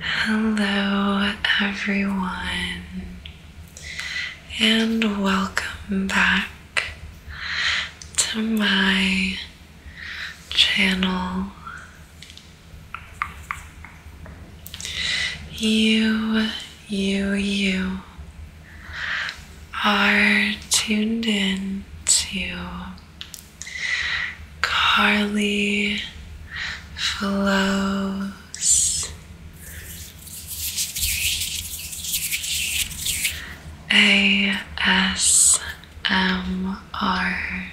Hello, everyone, and welcome back to my channel. You you, you are tuned in to Carly Flows, ASMR.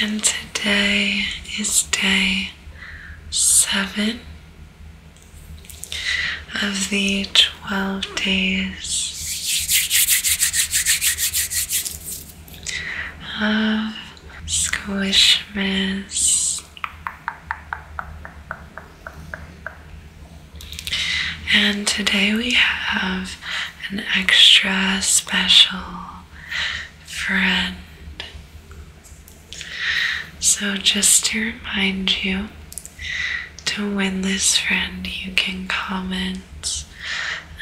And today is day seven of the 12 days of Squishmas. And today we have an extra special friend. So, just to remind you, to win this friend, you can comment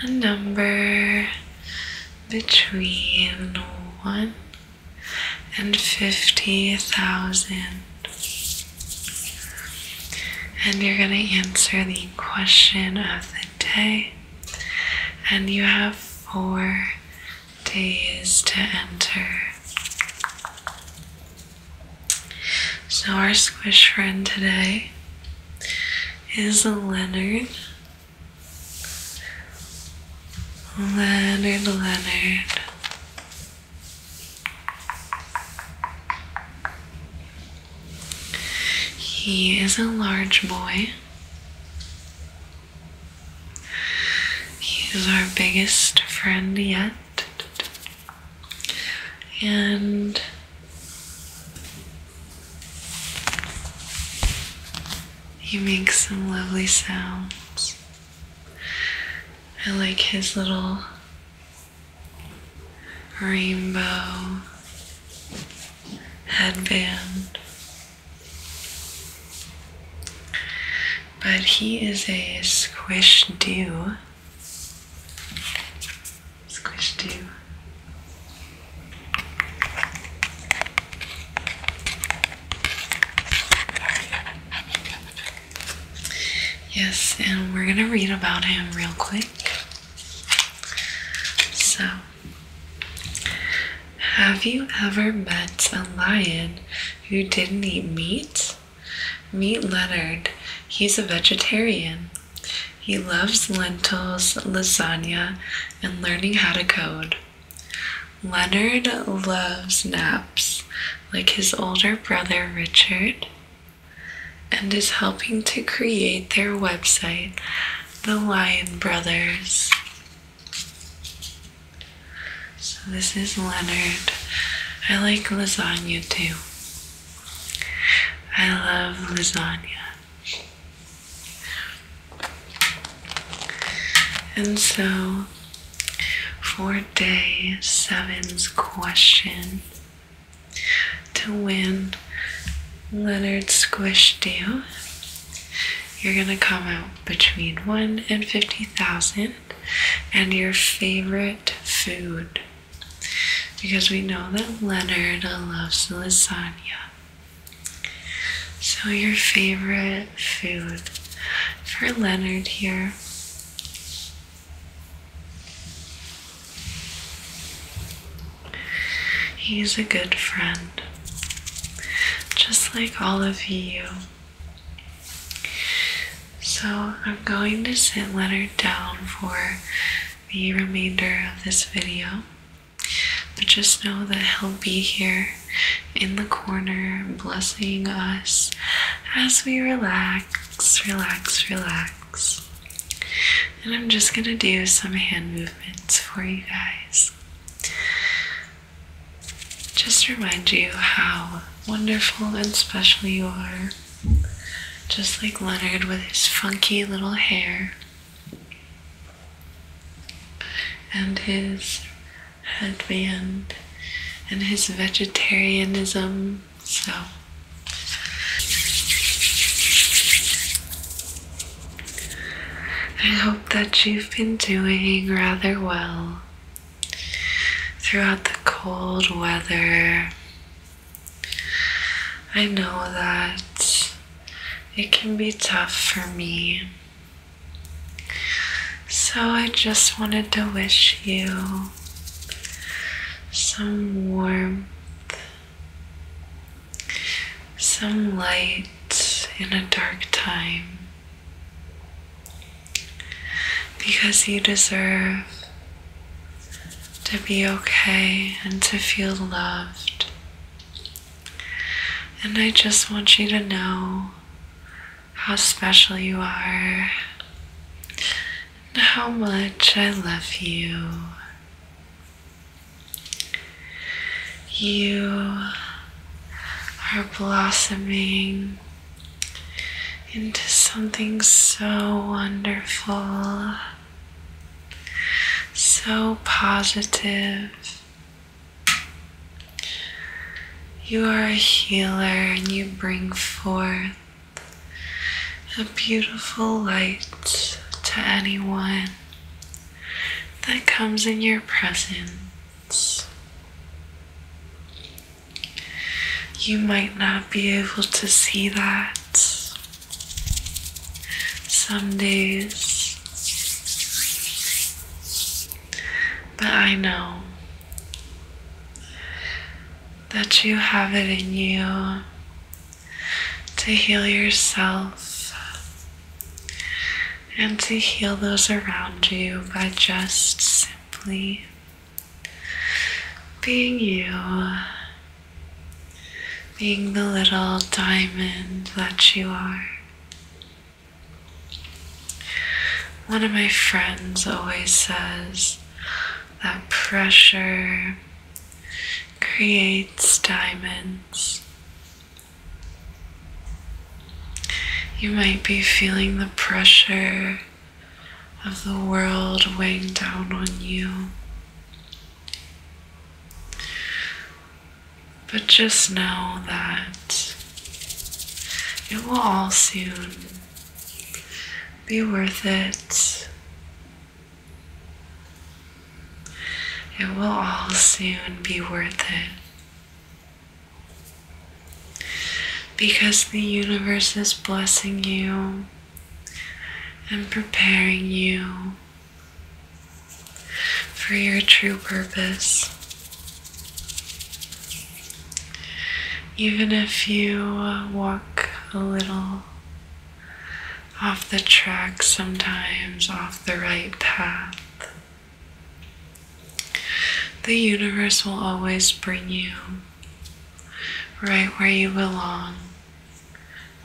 a number between 1 and 50,000. And you're going to answer the question of the day and you have four days to enter. So, our squish friend today is Leonard. Leonard, Leonard. He is a large boy. He's our biggest friend yet. And he makes some lovely sounds. I like his little rainbow headband. But he is a squish do. Squish do. Yes, and we're going to read about him real quick. So, have you ever met a lion who didn't eat meat? Meat Leonard. He's a vegetarian. He loves lentils, lasagna, and learning how to code. Leonard loves naps, like his older brother Richard, and is helping to create their website the Lion brothers. So this is Leonard. I like lasagna too. I love lasagna. And so for day seven's question, to win Leonard Squish Deal. You're gonna comment between one and fifty thousand, and your favorite food, because we know that Leonard loves lasagna. So your favorite food for Leonard here. He's a good friend just like all of you. So I'm going to sit Leonard down for the remainder of this video. But just know that he'll be here in the corner, blessing us as we relax, relax, relax. And I'm just going to do some hand movements for you guys. Just remind you how wonderful and special you are. Just like Leonard with his funky little hair and his headband and his vegetarianism. So, I hope that you've been doing rather well throughout the cold weather. I know that it can be tough for me. So I just wanted to wish you some warmth some light in a dark time because you deserve to be okay and to feel loved. And I just want you to know how special you are and how much I love you. You are blossoming into something so wonderful, so positive. You are a healer and you bring forth a beautiful light to anyone that comes in your presence. You might not be able to see that some days, but I know that you have it in you to heal yourself and to heal those around you by just simply being you, being the little diamond that you are. One of my friends always says that pressure creates diamonds. You might be feeling the pressure of the world weighing down on you. But just know that it will all soon be worth it it will all soon be worth it. Because the universe is blessing you and preparing you for your true purpose. Even if you walk a little off the track sometimes, off the right path. The universe will always bring you right where you belong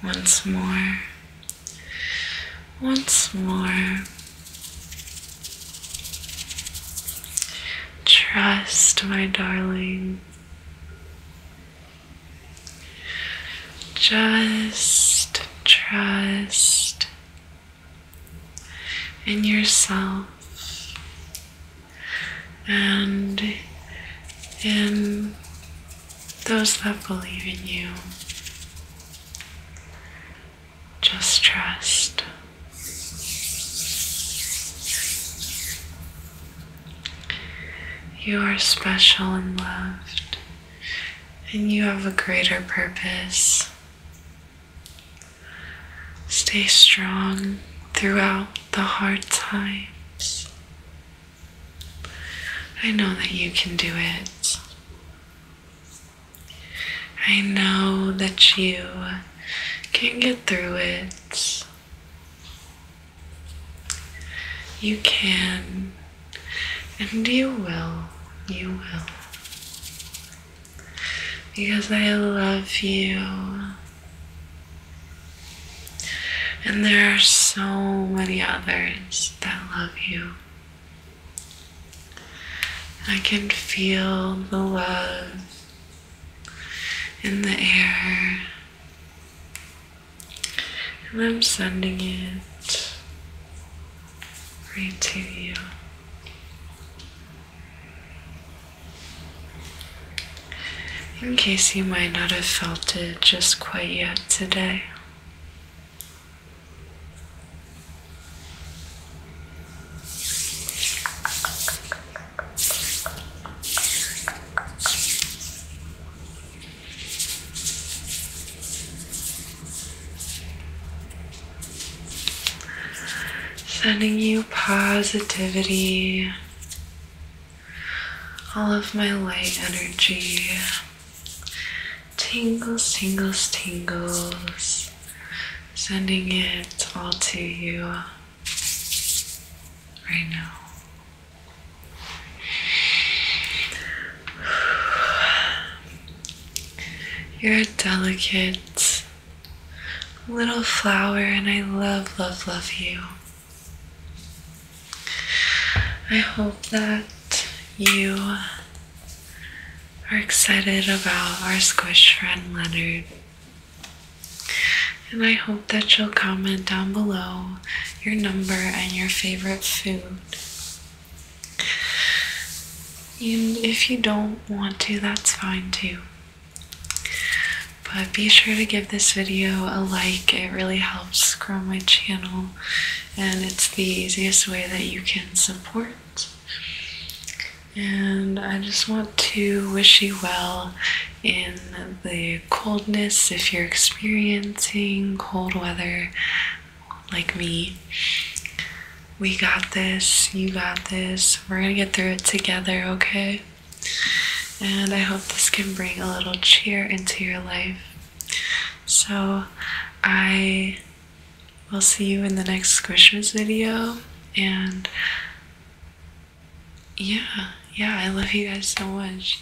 once more, once more. Trust, my darling. Just trust in yourself and in those that believe in you. Just trust. You are special and loved, and you have a greater purpose. Stay strong throughout the hard times. I know that you can do it. I know that you can get through it. You can, and you will, you will. Because I love you. And there are so many others that love you. I can feel the love in the air and I'm sending it right to you. In case you might not have felt it just quite yet today. Sending you positivity, all of my light energy, tingles, tingles, tingles, sending it all to you right now. You're a delicate little flower, and I love, love, love you. I hope that you are excited about our squish friend Leonard. And I hope that you'll comment down below your number and your favorite food. if you don't want to, that's fine too. But be sure to give this video a like, it really helps grow my channel, and it's the easiest way that you can support. And I just want to wish you well in the coldness if you're experiencing cold weather like me. We got this, you got this, we're gonna get through it together, okay? And I hope this can bring a little cheer into your life. So, I will see you in the next Christmas video. And yeah, yeah, I love you guys so much.